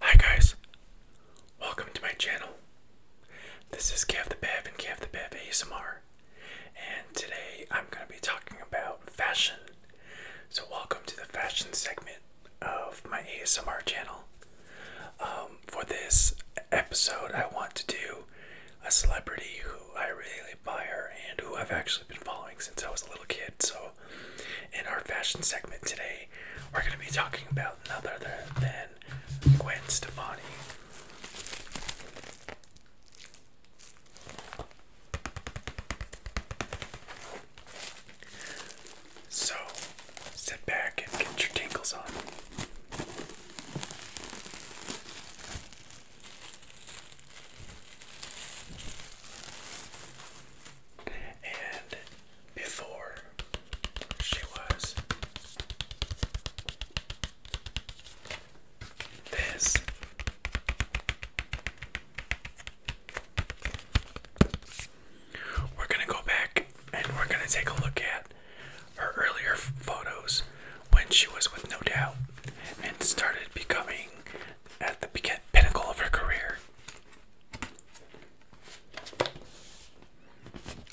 Hi guys, welcome to my channel. This is Kev the Bev and Kev the Bev ASMR, and today I'm going to be talking about fashion. So welcome to the fashion segment of my ASMR channel. Um, for this episode, I want to do a celebrity who I really admire and who I've actually been following since I was a little kid. So in our fashion segment today, we're going to be talking about none other than Gwen Stefani. So, sit back and get your tingles on. And before she was. This we're gonna go back and we're gonna take a look at her earlier photos when she was with No Doubt and started becoming at the pinnacle of her career.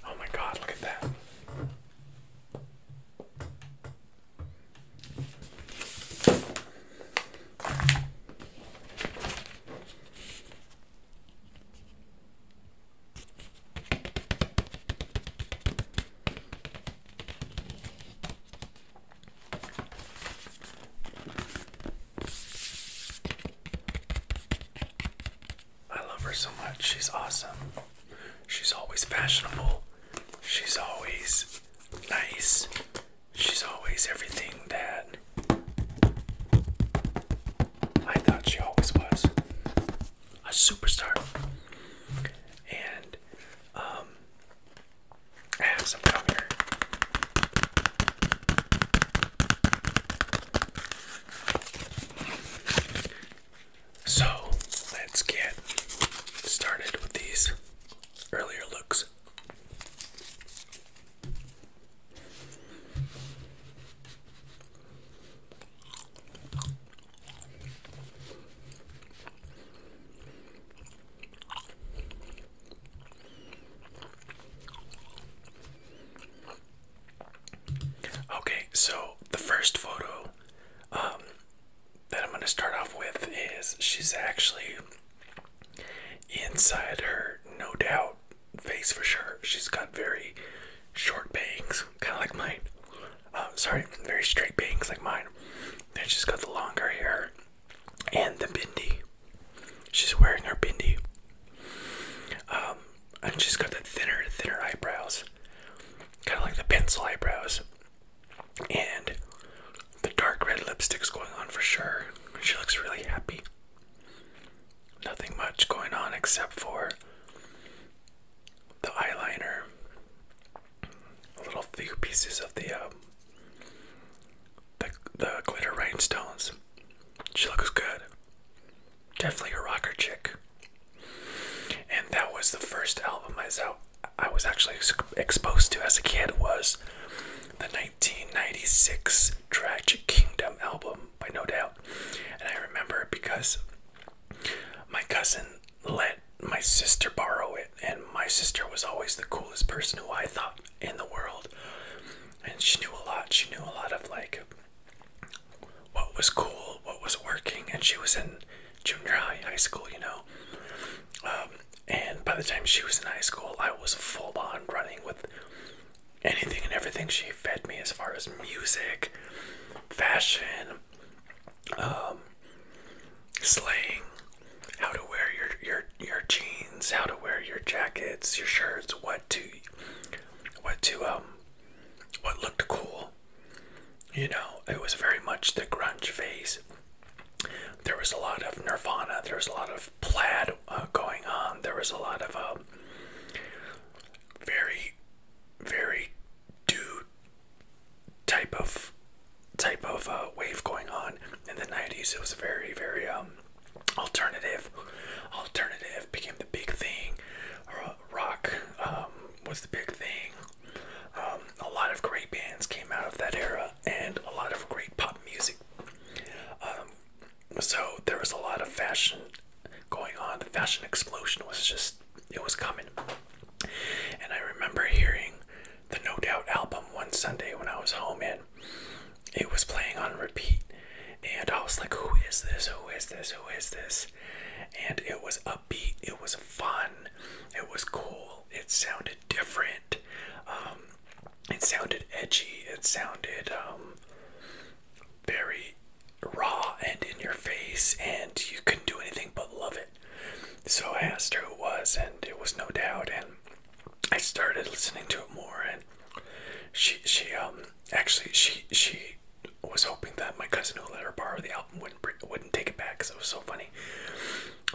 Oh my god, look at that. I love her so much. She's awesome. She's always fashionable. She's always nice. She's always everything that I thought she always was a superstar. And um, so let's get started with these earlier looks. Okay, so the first photo um, that I'm going to start off with is she's actually inside her, no doubt, face for sure. She's got very short bangs, kind of like mine. Uh, sorry, very straight bangs like mine. Then she's got the longer hair and the bindi. She's wearing her bindi. Um, and she's got the thinner, thinner eyebrows. Kind of like the pencil eyebrows. And the dark red lipstick's going on for sure. She looks really happy. Nothing much going on except for the eyeliner. A little few pieces of the, um, the, the glitter rhinestones. She looks good. Definitely a rocker chick. And that was the first album I was actually exposed to as a kid was the 1996 Tragic Kingdom album by No Doubt. And I remember because my cousin let my sister borrow it and my sister was always the coolest person who I thought in the world and she knew a lot. She knew a lot of like what was cool, what was working, and she was in junior high, high school, you know. Um, and by the time she was in high school, I was full on running with anything and everything she fed me as far as music, fashion, um, slang, how to wear your your your jeans how to wear your jackets, your shirts, what to what to um what looked cool. You know, it was very much the grunge phase. There was a lot of Nirvana, there was a lot of plaid uh, going on. There was a lot of um very very dude type of type of uh, wave going on in the 90s. It was very very um alternative alternative became the big thing rock um, was the big thing um, a lot of great bands came out of that era and a lot of great pop music um, so there was a lot of fashion going on the fashion explosion was just it was coming and i remember hearing the no doubt album one sunday when i was home in it was playing on repeat and I was like who is this who is this who is this and it was upbeat it was fun it was cool it sounded different um, it sounded edgy it sounded um, very raw and in your face and you couldn't do anything but love it so I asked her who it was and it was no doubt and I started listening to it more, and she she um actually she she was hoping that my cousin who let her borrow the album wouldn't wouldn't take it back because it was so funny.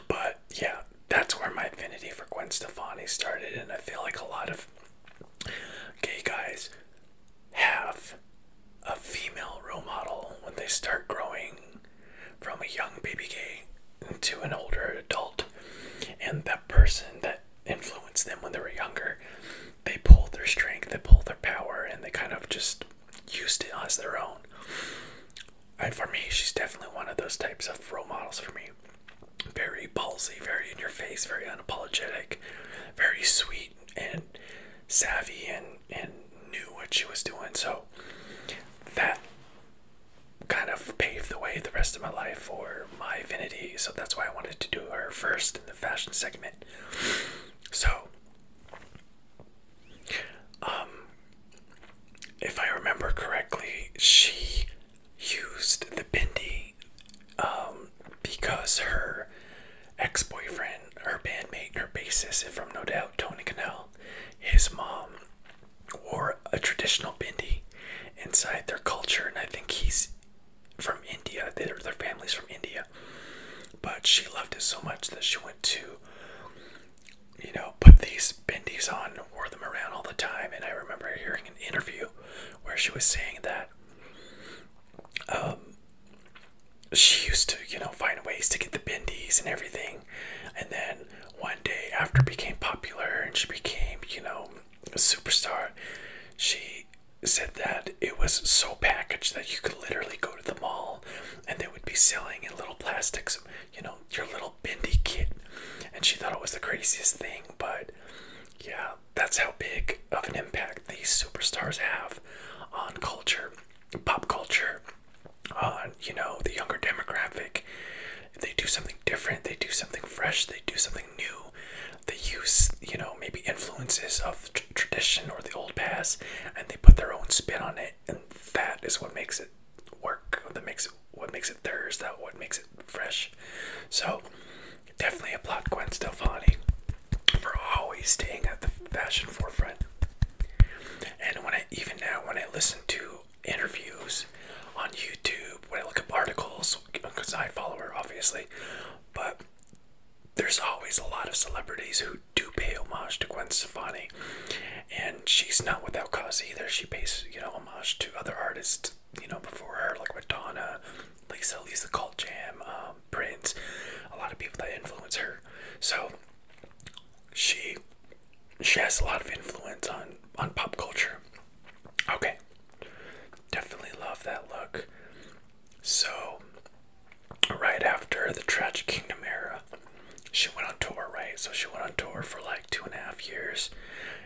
But yeah, that's where my affinity for Gwen Stefani started, and I feel like a lot of gay guys have a female role model when they start growing from a young baby gay to an older adult and that person that influenced them when they were younger they pulled their strength they pulled their power and they kind of just used it as their own and for me she's definitely one of those types of role models for me very ballsy very in your face very unapologetic very sweet and savvy and and knew what she was doing so that kind of paved the way the rest of my life for my affinity. So that's why I wanted to do her first in the fashion segment. So, um, if I remember correctly, she used the bindi um, because her ex boyfriend, her bandmate, her bassist from No Doubt, Tony Cannell, his mom or a traditional bindi inside their culture, and I think he's from India. Their their family's from India, but she loved it so much that she went to, you know, put these bindis on, wore them around all the time. And I remember hearing an interview where she was saying that um, she used to, you know, find ways to get the bindis and everything, and then one day after became popular and she became, you know, superstar, she said that it was so packaged that you could literally go to the mall and they would be selling in little plastics, you know, your little bendy kit. And she thought it was the craziest thing, but yeah, that's how big of an impact these superstars have on culture, pop culture, on, you know, the younger demographic they do something different, they do something fresh, they do something new. They use, you know, maybe influences of tradition or the old past, and they put their own spin on it, and that is what makes it work. That makes it what makes it theirs. That what makes it fresh. So, definitely applaud Gwen Stefani for always staying at the fashion forefront. And when I even now, when I listen to interviews on YouTube, when I look up articles because I follow her obviously, but there's always a lot of celebrities who do pay homage to Gwen Stefani, and she's not without cause either. She pays you know homage to other artists you know before her like Madonna, Lisa, Lisa Cult Jam, um, Prince, a lot of people that influence her. So she she has a lot of influence on on pop culture. Okay. Definitely love that look. So, right after the Tragic Kingdom era, she went on tour, right? So, she went on tour for like two and a half years,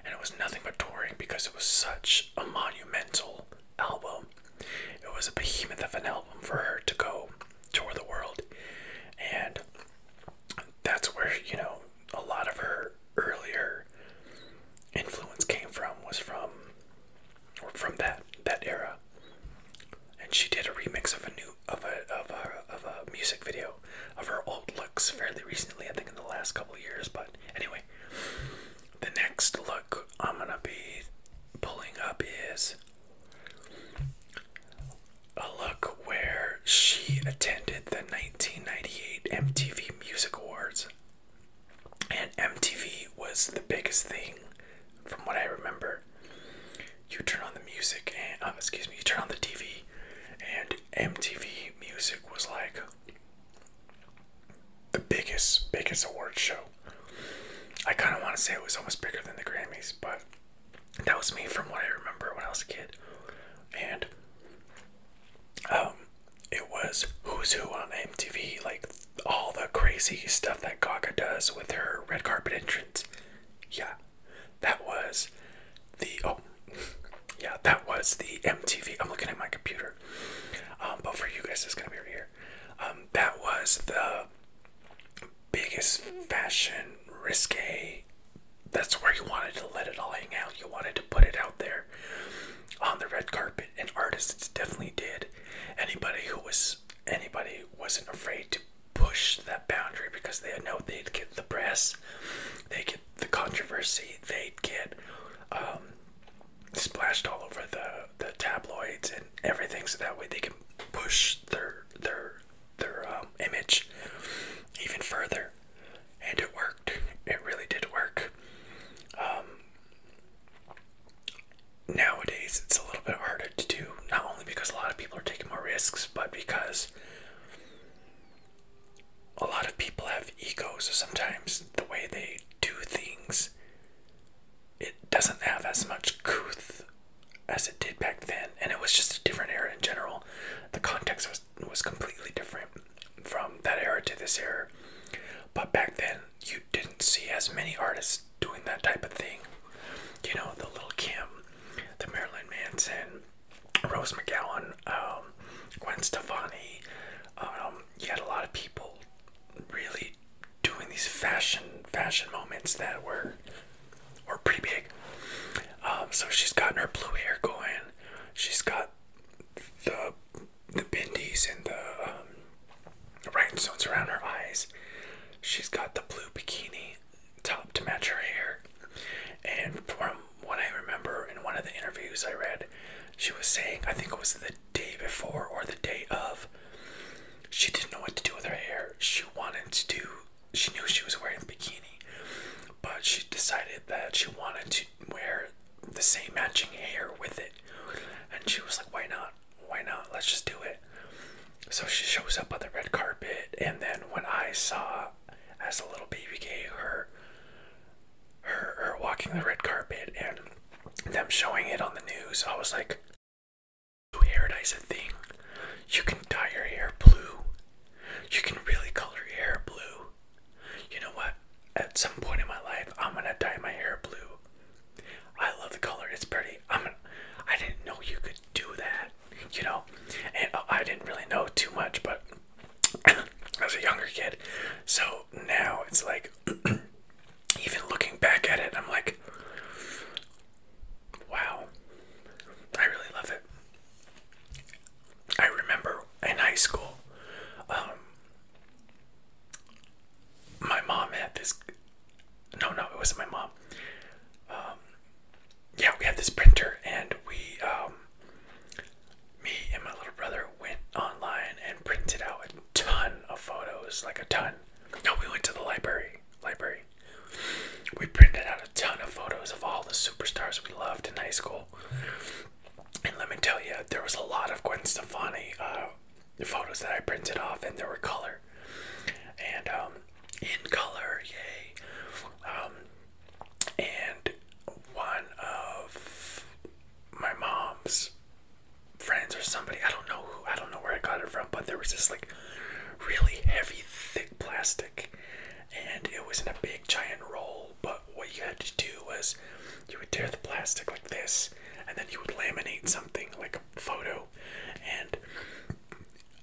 and it was nothing but touring because it was such a monumental album. It was a behemoth of an album for her to go tour the world, and that's where, you know, a lot of her earlier influence came from was from from that that era. And she did a remix of a new of a of a of a music video of her old looks fairly recently, I think in the last couple of years, but anyway. The next look I'm gonna be pulling up is a look where she attended the 1998 MTV Music Awards. And MTV was the biggest thing from what I remember. You turn on the music and, uh, excuse me, you turn on the TV and MTV Music was like the biggest, biggest award show. I kind of want to say it was almost bigger than the Grammys, but that was me from what I remember when I was a kid. And um, it was Who's Who on MTV, like all the crazy stuff that Gaga does with her red carpet entrance. Yeah, that was the oh, yeah, that was the MTV. I'm looking at my computer, um, but for you guys, it's gonna be right here. Um, that was the biggest fashion risque. That's where you wanted to let it all hang out. You wanted to put it out there on the red carpet, and artists definitely did. Anybody who was anybody wasn't afraid to push that boundary because they know they'd get the press, they get the controversy, they'd get um, splashed all over the the tabloids and everything, so that way they can push their their their um, image even further. And it worked. It really did work. Um, nowadays, it's a little bit harder to do, not only because a lot of people are taking more risks, but because a lot of people have egos, so sometimes the way they do things, it doesn't have as much couth as it did back then, and it was just a different era in general. The context was was completely different from that era to this era. But back then, you didn't see as many artists doing that type of thing. You know, the Little Kim, the Marilyn Manson, Rose McGowan, um, Gwen Stefani. Um, you had a lot of people really doing these fashion fashion moments that were were pretty big. Um, so she's gotten her blue hair going. She's got the the bendies and the um, rhinestones around her eyes. She's got the blue bikini top to match her hair. And from what I remember in one of the interviews I read, she was saying, I think it was the day before or the day of, she didn't know what to do with her hair. She wanted to do, she knew she was wearing a bikini, but she decided that she wanted to wear the same matching hair with it. And she was like, why not? Why not? Let's just do it. So she shows up on the red carpet, and then when I saw, as a little baby girl, her, her, walking the red carpet and them showing it on the news, I was like, "Paradise, a thing. You can dye your hair blue. You can really color your hair blue. You know what? At some point in my life, I'm gonna dye my hair blue. I love the color. It's pretty. I'm. Gonna, I am i did not know you could do that. You know, and oh, I didn't really know too much, but as a younger kid, so now it's like, even looking back at it, I'm like, wow, I really love it. I remember in high school, um, my mom had this. No, no, it wasn't my mom. Um, yeah, we had this printer, and we, um, me and my little brother went online and printed out a ton of photos, like a ton. No, we went to the library. Library. We printed out a ton of photos of all the superstars we loved in high school. And let me tell you, there was a lot of Gwen Stefani uh, photos that I printed off, and there were color. And um, in color, yay. Um, and one of my mom's friends or somebody, I don't know who, I don't know where I got it from, but there was this like really heavy, thick plastic. And it was in a big giant roll, but what you had to do was you would tear the plastic like this, and then you would laminate something like a photo. And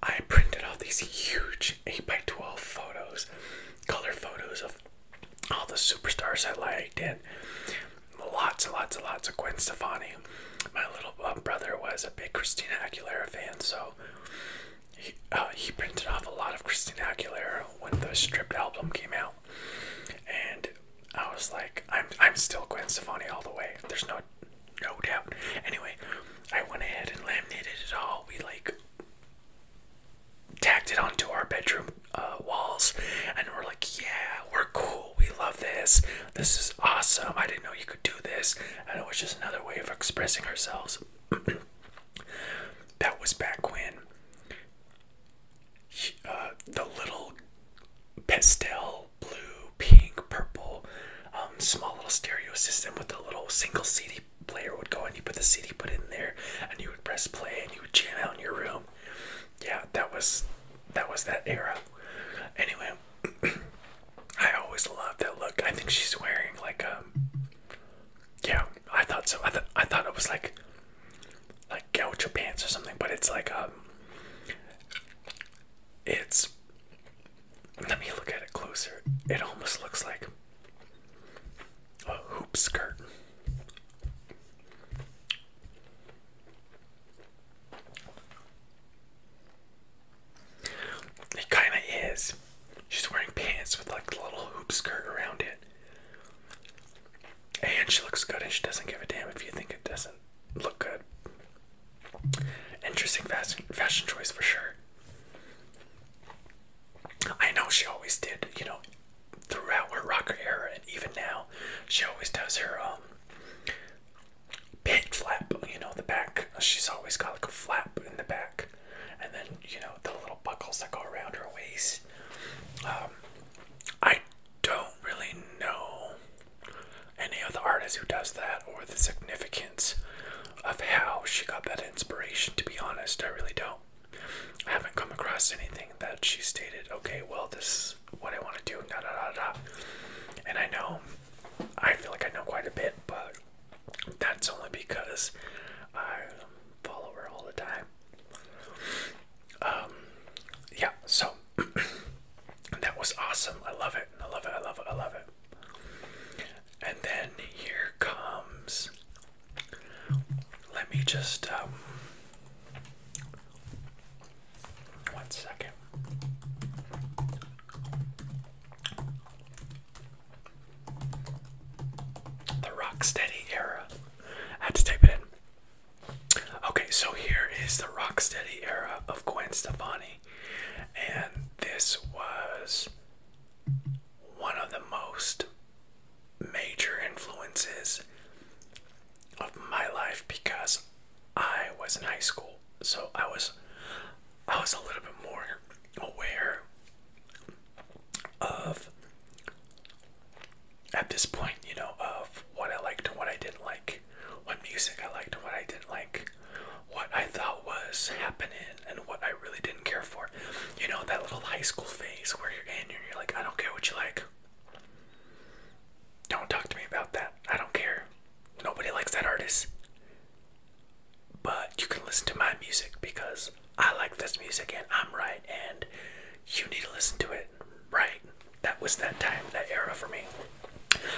I printed all these huge 8x12 photos, color photos of all the superstars I liked, and lots and lots and lots of Gwen Stefani. My little uh, brother was a big Christina Aguilera fan, so he uh, printed off a lot of Christina Aguilera when the stripped album came out, and I was like, I'm I'm still Gwen Stefani all the way. There's no no doubt. Anyway, I went ahead and laminated it all. We like tacked it onto our bedroom uh, walls, and we're like, yeah, we're cool. We love this. This is awesome. I didn't know you could do this, and it was just another way of expressing ourselves. that was back when uh, the little pastel blue, pink, purple, um, small little stereo system with a little single CD player would go and you put the CD put in there and you would press play and you would jam out in your room. Yeah, that was that was that era. Anyway, I always love that look. I think she's wearing like a. Um, yeah, I thought so. I thought I thought it was like like gaucho pants or something, but it's like um it's let me look at it closer. It almost looks like a hoop skirt. It kind of is. She's wearing pants with like a little hoop skirt around it. And she looks good and she doesn't give a damn if you think it doesn't look good. Interesting fashion, fashion choice for sure. I know she always did, you know, throughout her rocker era and even now, she always does her um pit flap, you know, the back. She's always got like a flap in the back. And then, you know, the little buckles that go around her waist um, I don't really know any other artist who does that or the significance of how she got that inspiration. To be honest, I really don't. I haven't come across anything that she stated, okay, well, this is what I want to do, da da da da. And I know, I feel like I know quite a bit, but that's only because I um, follow her all the time. Um, yeah, so that was awesome. I love it. I love it. I love it. I love it. And then here comes. Let me just. Um, one second. The Rocksteady era. I had to type it in. Okay, so here is the Rocksteady era of Gwen Stefani, and this was one of the most major influences of my life because I was in high school, so I was I was a little bit more aware of at this point, you know, of what I liked and what I didn't like, what music I liked and what I didn't like, what I thought was happening and what I really didn't care for. You know, that little high school phase where you're in and you're like, I don't care what you like. Don't talk to me about that. I don't care. Nobody likes that artist. But you can listen to my music because I like this music and I'm right, and you need to listen to it, right? That was that time, that era for me.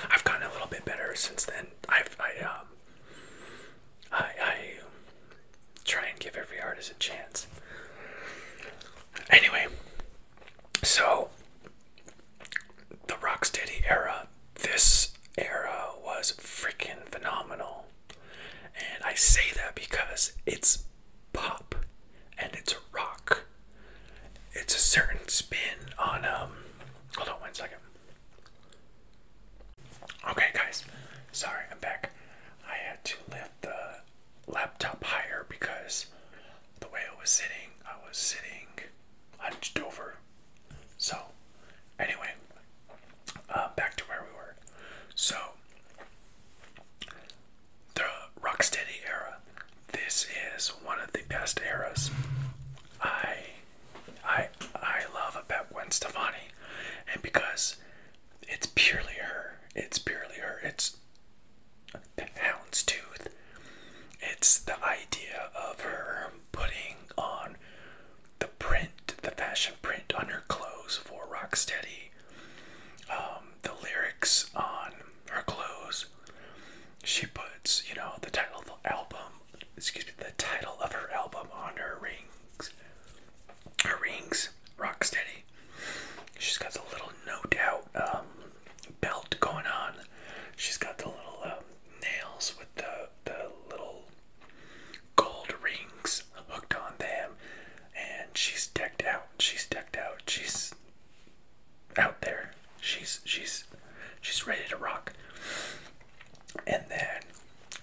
I've gotten a little bit better since then. I've, I, um, I, I try and give every artist a chance. Anyway, so the Rocksteady era, this era was freaking phenomenal. And I say that because it's pop and it's a rock. It's a certain spin on um hold on one second. Okay guys, sorry, I'm back. I had to lift the laptop higher because the way I was sitting, I was sitting hunched over. So anyway, uh, back to where we were. So, the Rocksteady era. This is one of the best eras. I, I, I love about Gwen Stefani, and because it's purely her. It's purely her. It's the houndstooth. It's the idea of her putting on the print, the fashion print on her clothes for Rocksteady um, the lyrics on her clothes, she puts, you know, the title of the album, excuse me, the title of her album on her rings. Her rings, rock steady. She's got the little no doubt um, belt going on. She's got the little um, nails with the the little gold rings hooked on them, and she's decked out. She's decked out. She's out there. She's she's she's ready to rock. And then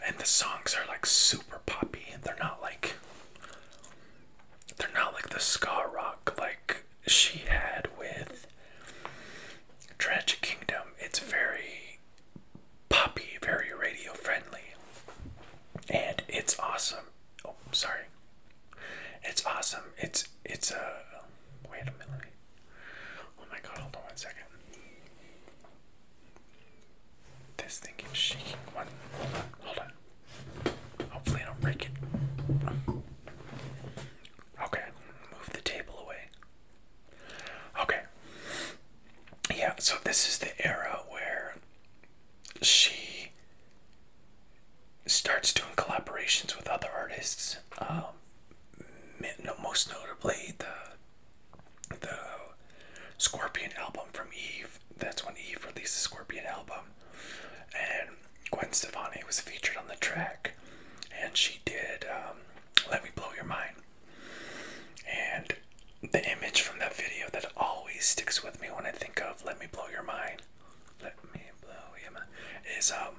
and the songs are like super poppy. They're not like they're not like the ska rock like she had with Tragic Kingdom. It's very poppy, very radio friendly and it's awesome. Oh, sorry. It's awesome. It's it's a uh, wait a minute. Oh my god! Hold on one second. This thing is shaking. One, hold on, hold on. Hopefully, I don't break it. Okay, move the table away. Okay. Yeah, so this is the era where she starts doing collaborations with other artists. Um, most notably the the Scorpion album from Eve. That's when Eve released the Scorpion album, and Gwen Stefani was featured on the track, and she did um, "Let Me Blow Your Mind," and the image from that video that always sticks with me when I think of "Let Me Blow Your Mind." Let me blow your is um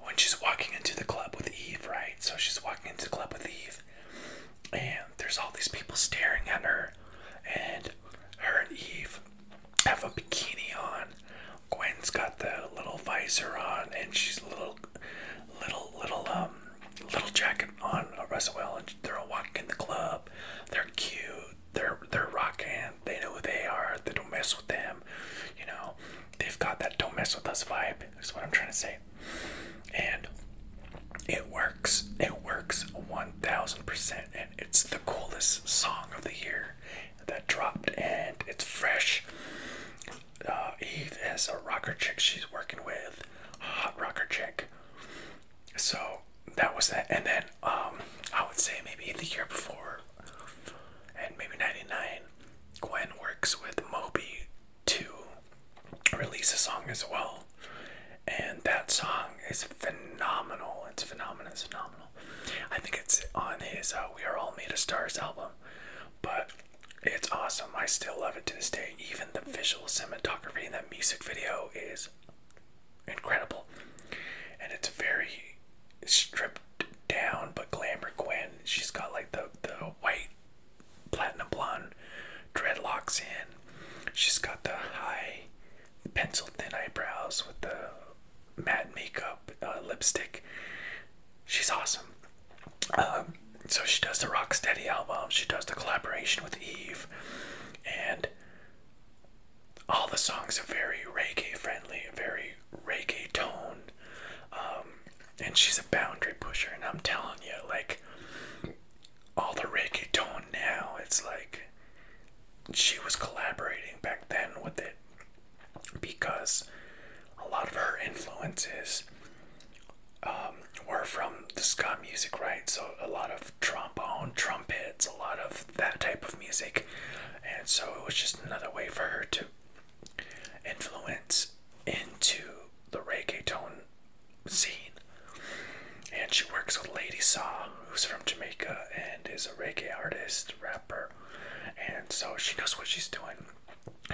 when she's walking into the club with Eve, right? So she's walking into the club with Eve, and there's all these people staring at her, and her and Eve have a bikini on. Gwen's got the little visor on, and she's little, little, little um little jacket on a well, and they're all walking in the club. They're cute. They're they're rocking. They know who they are. They don't mess with them. You know, they've got that don't mess with us vibe. That's what I'm trying to say. And it works. It works 1000%. And it's the coolest song of the year that dropped. And it's fresh. Uh, Eve is a rocker chick she's working with. A hot rocker chick so that was that and then um, i would say maybe the year before and maybe 99 gwen works with moby to release a song as well and that song is phenomenal it's phenomenal it's phenomenal i think it's on his uh, we are all made of stars album but it's awesome i still love it to this day even the visual cinematography in that music video is incredible. And it's very stripped down but glamour Gwen. She's got like the, the white platinum blonde dreadlocks in. She's got the high pencil thin eyebrows with the matte makeup, uh, lipstick. She's awesome. Um, so she does the rock steady album. She does the collaboration with Eve and all the songs are very reggae friendly, very reggae tone. Um, and she's a boundary pusher, and I'm telling you, like all the reggae tone now, it's like she was collaborating back then with it because a lot of her influences um, were from the ska music, right? So a lot of trombone, trumpets, a lot of that type of music, and so it was just another way for her to influence into the reggaeton scene. And she works with Lady Saw, who's from Jamaica and is a reggae artist, rapper, and so she knows what she's doing.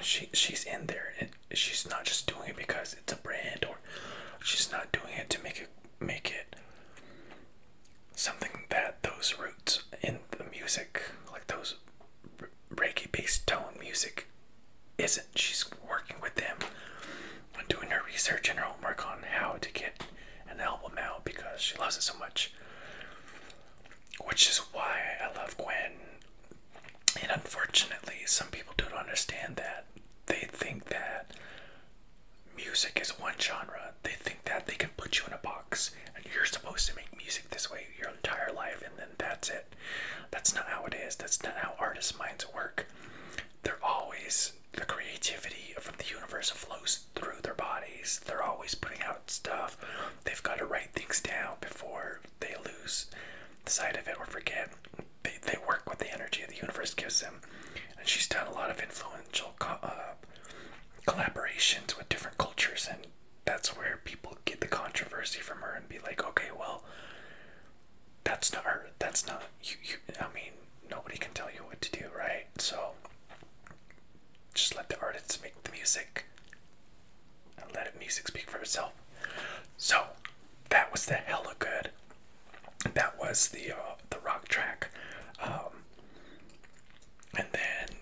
She she's in there, and she's not just doing it because it's a brand or She's not doing it to make it make it something that those roots in the music, like those Reiki-based tone music, isn't. She's working with them and doing her research and her homework on how to get an album out because she loves it so much. Which is why I love Gwen. And unfortunately, some people don't understand that they think that music is one genre. They think that they can put you in a box and you're supposed to make music this way your entire life and then that's it. That's not how it is. That's not how artists' minds work. They're always the creativity from the universe flows through their bodies. They're always putting out stuff. They've got to write things down before they lose sight of it or forget they, they work with the energy the universe gives them. And she's done a lot of influential uh, collaborations with different cultures, and that's where people get the controversy from her and be like, okay, well, that's not her. That's not you. you I mean, nobody can tell you what to do, right? So just let the artists make the music and let the music speak for itself. So that was the hella good. That was the uh, the rock track, um, and then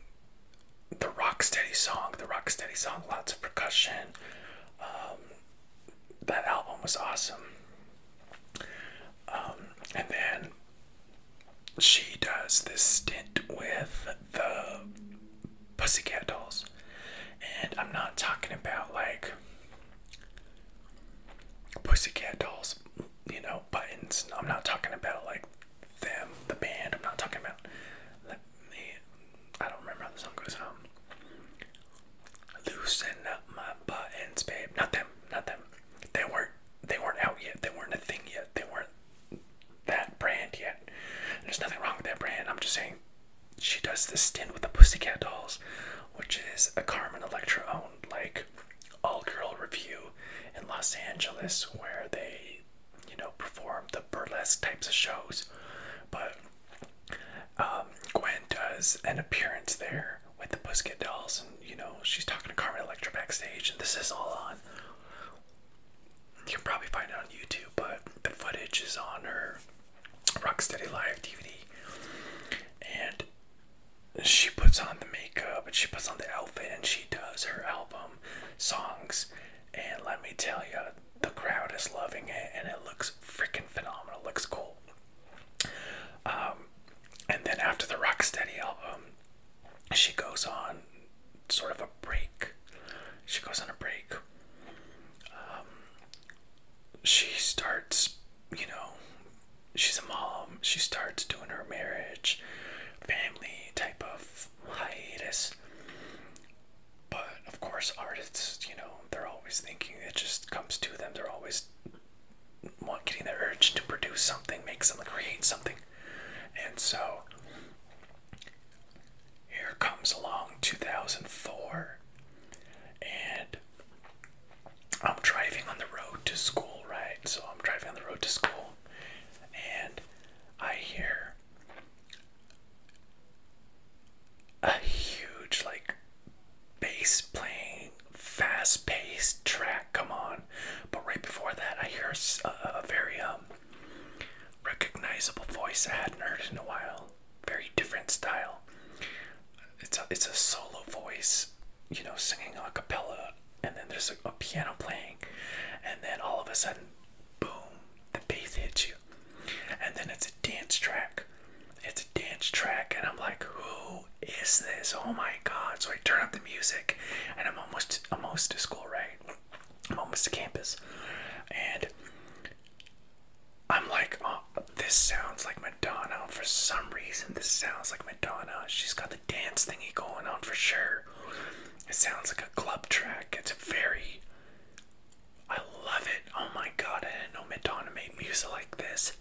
the Rocksteady song. The rock steady song, lots of percussion. Um, that album was awesome. Um, and then she does this stint with the Pussycat Dolls, and I'm not talking about like Pussycat dolls, you know, buttons. I'm not talking about like them, the band. I'm not talking about the, the I don't remember how the song goes. Um, loosen up my buttons, babe. Not them, not them. They weren't, they weren't out yet. They weren't a thing yet. They weren't that brand yet. there's nothing wrong with that brand. I'm just saying she does this stint with the Pussycat Dolls, which is a Carmen Electra owned, like, all girl review in Los Angeles where they, you know, perform the burlesque types of shows. But um, Gwen does an appearance there with the Pussycat Dolls, and, you know, she's talking to Carmen Electra backstage, and this is all on. You can probably find it on YouTube, but the footage is on her Rock Steady Live DVD, and she puts on the makeup and she puts on the outfit and she does her album songs. And let me tell you, the crowd is loving it and it looks freaking phenomenal. looks cool. Um, and then after the Rock Steady album, she goes on sort of a break. She goes on a break. Um, she starts, you know, she's a mom. She starts doing her marriage, family type of hiatus. But of course, artists, you know, they're always thinking it just comes to them. They're always want getting the urge to produce something, make something, create something. And so here comes along 2004 and I'm driving on the road to school, right? So I'm driving on the road to school and I hear a huge, like, bass playing, fast paced track come on. But right before that, I hear a, very um, recognizable voice I hadn't heard in a while very different style. It's a, it's a solo voice, you know, singing a cappella, and then there's a, a piano playing, and then all of a sudden, boom, the bass hits you, and then it's a dance track. It's a dance track, and I'm like, who is this? Oh my god! So I turn up the music, and I'm almost, almost to school, right? I'm almost to campus, and I'm like, oh, this sounds like Madonna. For some reason, this sounds like Madonna. She's got the dance thingy going on for sure. It sounds like a club track. It's very. I love it. Oh my god, I didn't know Madonna made music like this.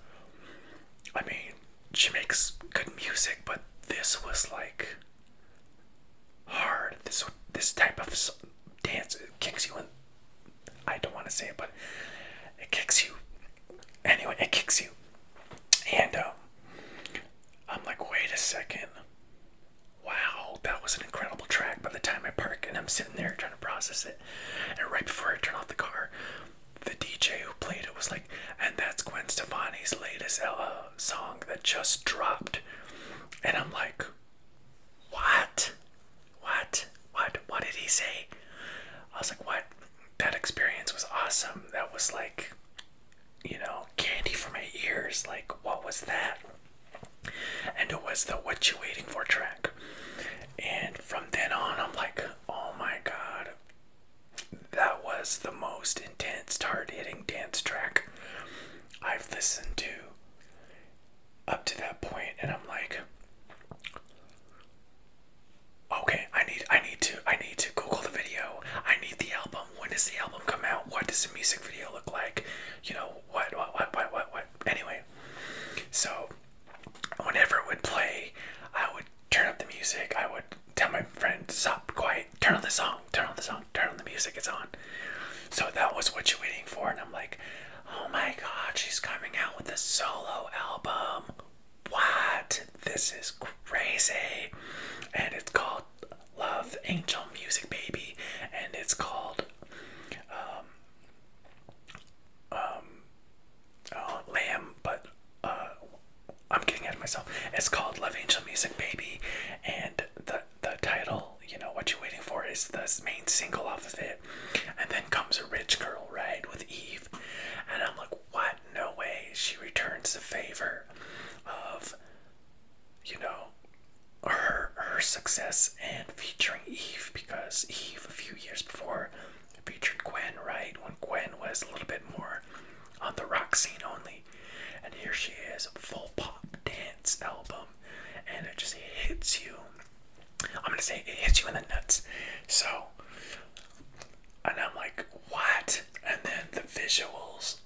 I mean, she makes good music, but this was like hard. This this type of dance kicks you in I don't want to say it, but it kicks you. Anyway, it kicks you. And um, I'm like, wait a second. Wow, that was an incredible track. By the time I park and I'm sitting there trying to process it, and right before I turn off the car, the DJ who played it was like, and that's Gwen Stefani's latest uh, song that just dropped. And I'm like, what? What? What? What did he say? I was like, What? That experience was awesome. That was like, you know, candy for my ears. Like, what was that? And it was the What You Waiting For track. And from then on, I'm like, Oh my god. That was the most intense, hard hitting dance track I've listened to up to that point, and I'm like, Okay, I need I need to I need to Google the video. I need the album. When does the album come out? What does the music video look like? You know, what what what what what what anyway. So whenever it would play, I would turn up the music, I would tell my friend, stop quiet, turn on the song, turn on the song, turn on the music, it's on. So that was what you're waiting for, and I'm like, Oh my god, she's coming out with a solo album. What? This is crazy. And it's called Love Angel Music Baby. And it's called um um oh, Lamb, but uh, I'm getting ahead of myself. It's called Love Angel Music Baby and the the title, you know, what you're waiting for is the main single off of it. And then comes a rich girl, right, with Eve. And I'm like, what? No way. She returns the favor of, you know, her her success and featuring Eve because Eve a few years before featured Gwen, right? When Gwen was a little bit more on the rock scene only. And here she is, full pop dance album, and it just hits you I'm gonna say it hits you in the nuts. So, and I'm like, what? And then the visuals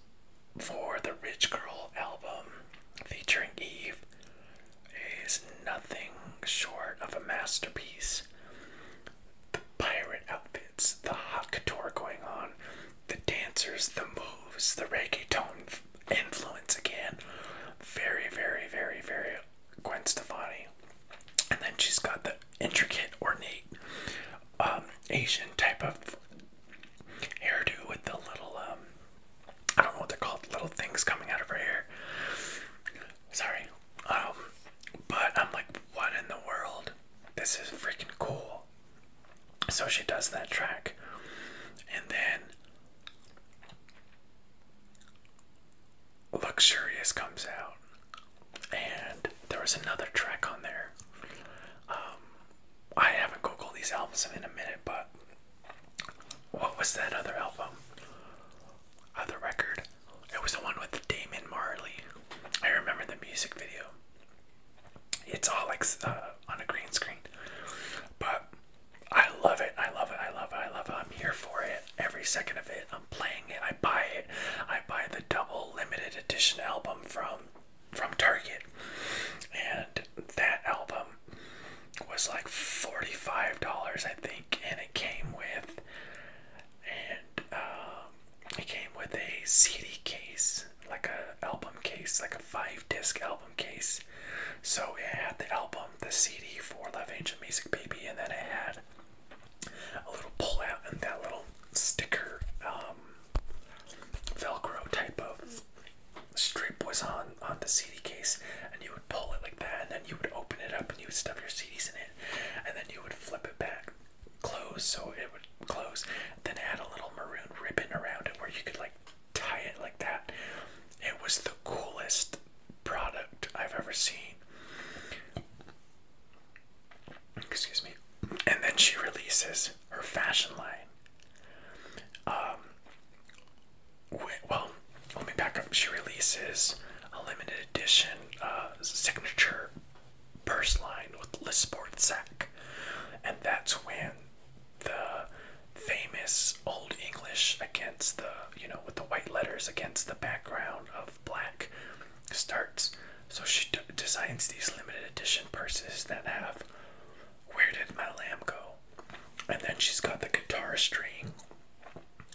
for the Rich Girl album featuring Eve is nothing short of a masterpiece. The pirate outfits, the hot couture going on, the dancers, the moves, the reggae tone influence again. Very, very, very, very Gwen Stefani, and then she's got the intricate, ornate um, Asian type of hairdo with the little um, I don't know what they're called, little things coming out of her hair. Sorry, um, but I'm like, what in the world? This is freaking cool. So she does that track, and then Luxurious comes out, and there was another track on there. Um, I haven't googled these albums in a minute, but what was that other album? Other record? It was the one with Damon Marley. I remember the music video. It's all like uh, on a green screen, but I love it. I love it. I love it. I love it. I'm here for it. Every second of it. I'm playing it. I buy it. I buy the double limited edition album from from Target. And that album was like $45, I think, and it came with and um, it came with a CD case, like a album case, like a five disc album case. So it the album um, the CD for Love Angel Music Baby, and then I had a little pull out and that little sticker um, Velcro type of strip was on on the CD case, and you would pull it like that, and then you would open it up and you would stuff your CDs in it, and then you would flip it back close so it would close. Then it had a little maroon ribbon around it where you could like tie it like that. It was the coolest product I've ever seen. Excuse me. And then she releases her fashion line. Um, well, let me back up. She releases a limited edition uh, signature purse line with list sport sack, and that's when the famous Old English against the you know, with the white letters against the background of black starts. So she designs these limited edition purses that have Where Did My Lamb Go? And then she's got the guitar string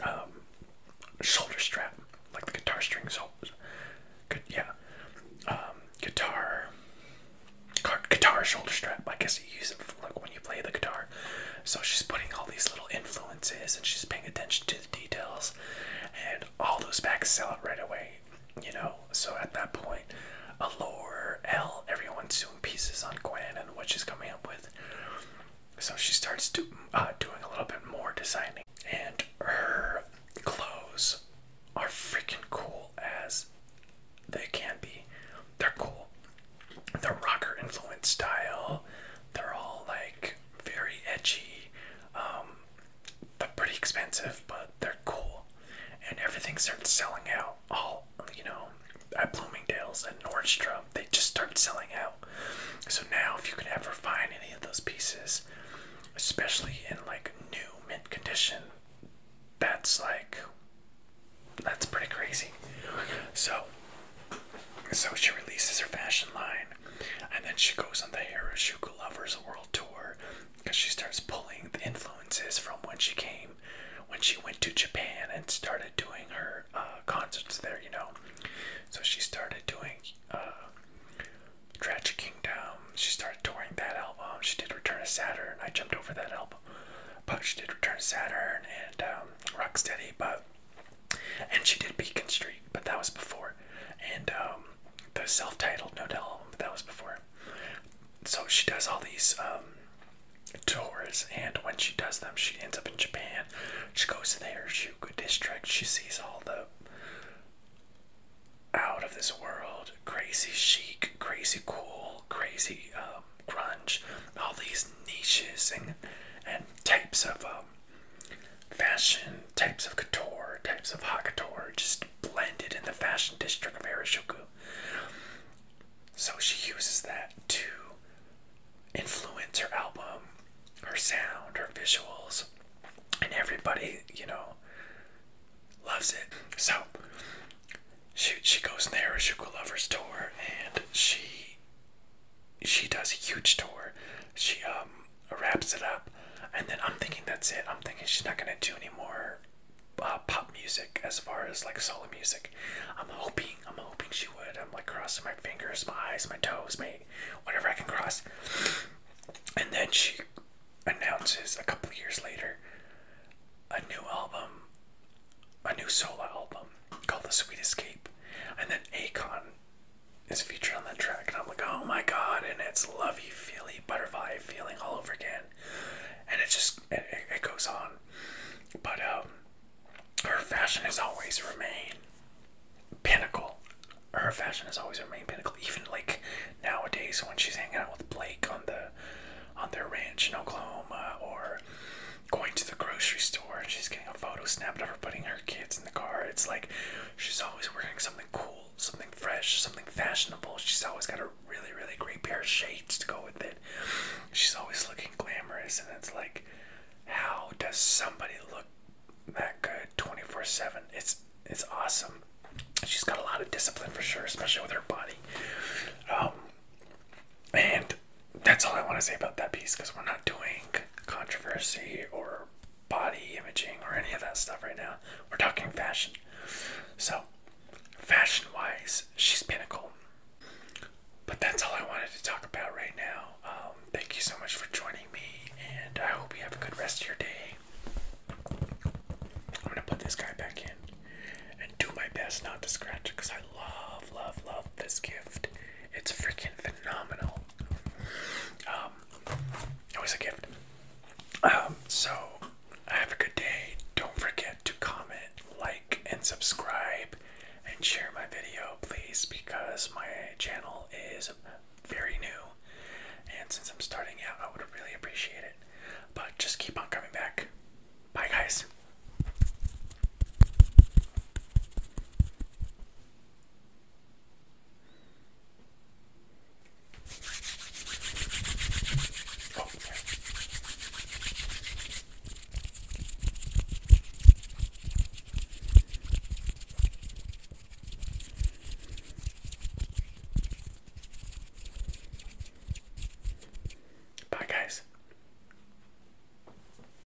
um, shoulder strap, like the guitar string, so yeah. Um, guitar, guitar shoulder strap. I guess you use it for, like when you play the guitar. So she's putting all these little influences and she's paying attention to the details, and all those bags sell out right away. You know, so at that point, Allure, L, everyone's doing pieces on Gwen and what she's coming up with. So she starts do, uh, doing a little bit more designing, and her clothes are freaking cool as they can be. They're cool the rocker influence style. They're all like very edgy. Um, they're pretty expensive, but they're cool. And everything starts selling out. All you know, at Bloomingdale's and Nordstrom, they just start selling out. So now, if you can ever find any of those pieces, especially in like new mint condition, that's like that's pretty crazy. So so she releases her fashion line, and then she goes on the Harajuku Lovers World Tour because she starts pulling the influences from when she came, when she went to Japan and started doing her uh, concerts there, you know. So she started doing uh, Tragic Kingdom, she started touring that album, she did Return to Saturn, I jumped over that album, but she did Return to Saturn and um, Rocksteady, but and she did Beacon Street, but that was before. And um, the self titled No Doubt album, that was before. So she does all these um, tours, and when she does them, she ends up in Japan. She goes there, Shugo District, she sees all the out of this world, crazy chic, crazy cool, crazy um, grunge, all these niches and and types of um, fashion types of couture, types of hot couture, just blended in the fashion district of Harajuku. So she uses that to influence her album, her sound, her visuals, and everybody, you know, loves it. So she she goes on the Harajuku Lovers Tour and she she does a huge tour. She um, wraps it up, and then I'm thinking that's it. I'm thinking she's not gonna do any more uh, pop music as far as like solo music. I'm hoping, I'm hoping she would. I'm like crossing my fingers, my eyes, my toes, my whatever I can cross. And then she announces a couple years later a new album, a new solo album, called The Sweet Escape. And then Akon is featured on that track. And I'm like, oh my god. And it's lovey, feely, butterfly feeling all over again. And it just, it, it goes on. But um, her fashion has always remained pinnacle. Her fashion has always remained pinnacle. Even like nowadays when she's hanging out with Blake on the on their ranch in Oklahoma or going to the grocery store and she's getting a photo snapped of her putting her kids in the car. It's like she's always wearing something cool, something fresh, something fashionable. She's always got a really, really great pair of shades to go with it. She's always looking glamorous, and it's like, how does somebody look that good 24 7? It's it's awesome. She's got a lot of discipline for sure, especially with her body. Um, and that's all I want to say about that piece because we're not doing controversy or body imaging or any of that stuff right now. We're talking fashion. So, fashion wise, she's pinnacle. But that's all I wanted to talk about right now. Um, thank you so much for joining me, and I hope you have a good rest of your day. I'm gonna put this guy back in and do my best not to scratch it because I love, love, love this gift. It's freaking phenomenal. Um, it was a gift. Um, so I have a good day. Don't forget to comment, like, and subscribe, and share my video, please, because my channel is very new. And since I'm starting out, I would really appreciate it. But just keep on coming back. Bye, guys. Oh, okay. Bye, guys.